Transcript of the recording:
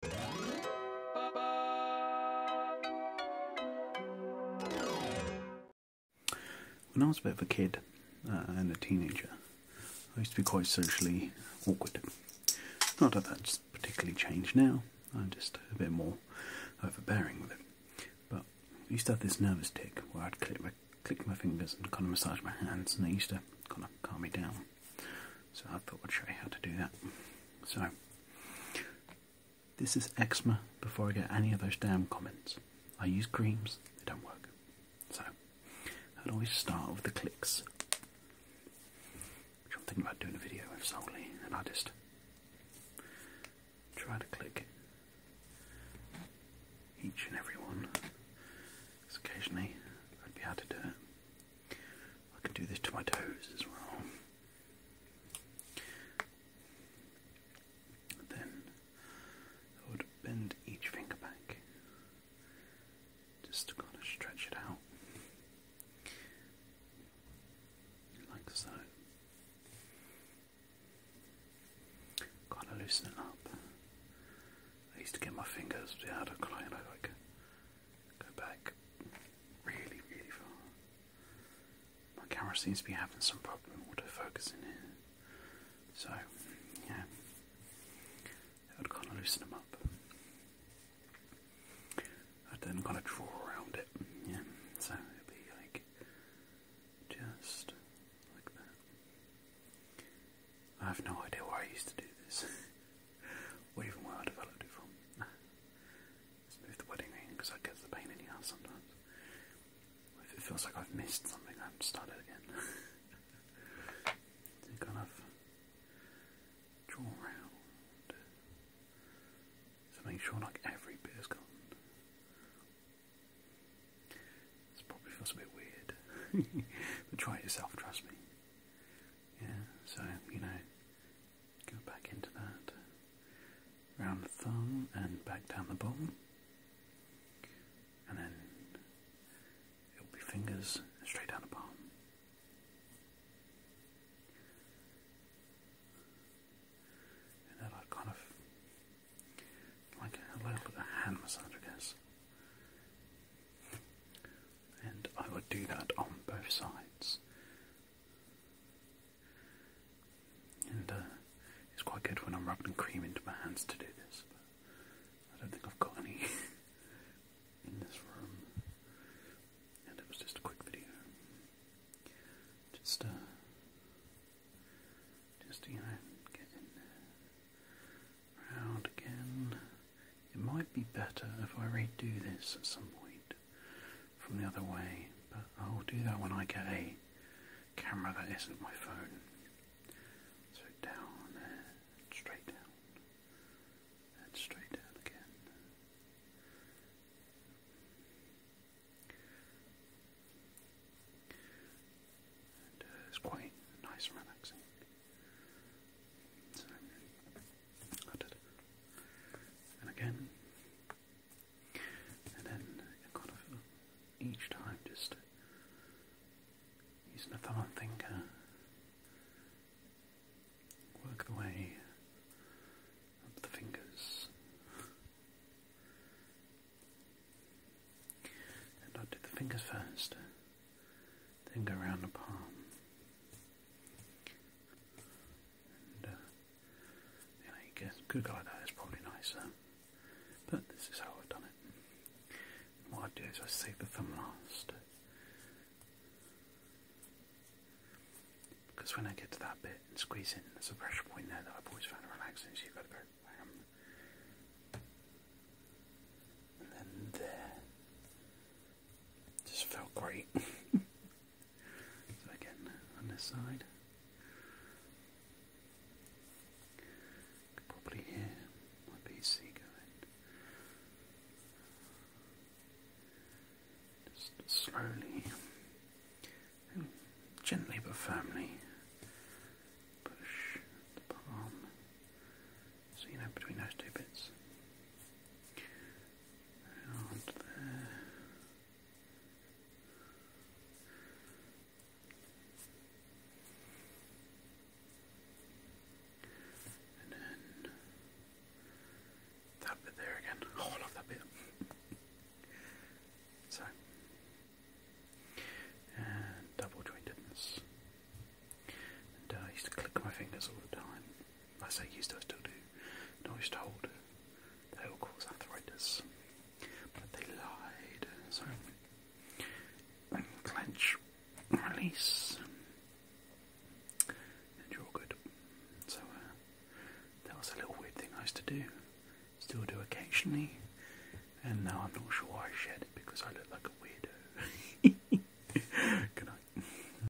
When I was a bit of a kid uh, and a teenager, I used to be quite socially awkward. Not that that's particularly changed now, I'm just a bit more overbearing with it. But I used to have this nervous tick where I'd click my, fingers and kind of massage my hands, and they used to kind of calm me down. So I thought I'd show you how to do that. So this is eczema before I get any of those damn comments. I use creams, they don't work. So I'd always start with the clicks. Which I'm thinking about doing a video of solely, and I just try to click each and every one. occasionally I'd be able to do it. I can do this to my toes as well. then I would bend each finger back just to kind of stretch it out. Like so. Kind of loosen it up. I used to get my fingers, yeah, I'd kind like Go back really, really far. My camera seems to be having some problem autofocusing here. So, yeah. I would kind of loosen them up. I'd then kind of draw around it, yeah. So it'd be like just like that. I have no idea why I used to do this. Where even where I developed it from. Let's move the wedding ring because that gets the pain in the sometimes. it feels like I've missed something, I have started again. so kind of draw around. So make sure like every bit is gone. This probably feels a bit weird. but try it yourself, trust me. Yeah, so, you know, Go back into that. Round the thumb and back down the bottom. And then it'll be fingers straight down the palm. And then I kind of like a little bit of hand massage, I guess and I will do that on both sides. And uh, it's quite good when I'm rubbing cream into my hands to do this. But I don't think I've got any in this room. And it was just a quick video. Just, uh, just you know, getting round again. It might be better if I redo this at some point from the other way, but I'll do that when I get a camera that isn't my phone. So down straight down, and straight down again. Uh, it's quite nice and relaxing and again, and then kind of each time just using the thumb and finger, work the way up the fingers, and I do the fingers first. Then go around the palm. And, uh, you know, you get could like that. It's probably nicer, but this is how I've done it. what I do is I save the thumb last. Because when I get to that bit and squeeze in, there's a pressure point there that I've always found relaxing, so you've got to go bam. And then there. Just felt great. so again, on this side, probably here my PC going. Just slowly, gently but firmly push the palm. So you know between those two bits. Around there. And then that bit there again. Oh, I love that bit. so, and double jointedness. And I used to click my fingers all the time as they used to still do, knowledge told. They will cause arthritis. But they lied. So, um, clench, release, and you're all good. So, uh, that was a little weird thing I used to do. Still do occasionally. And now I'm not sure why I shared it because I look like a weirdo. Good night.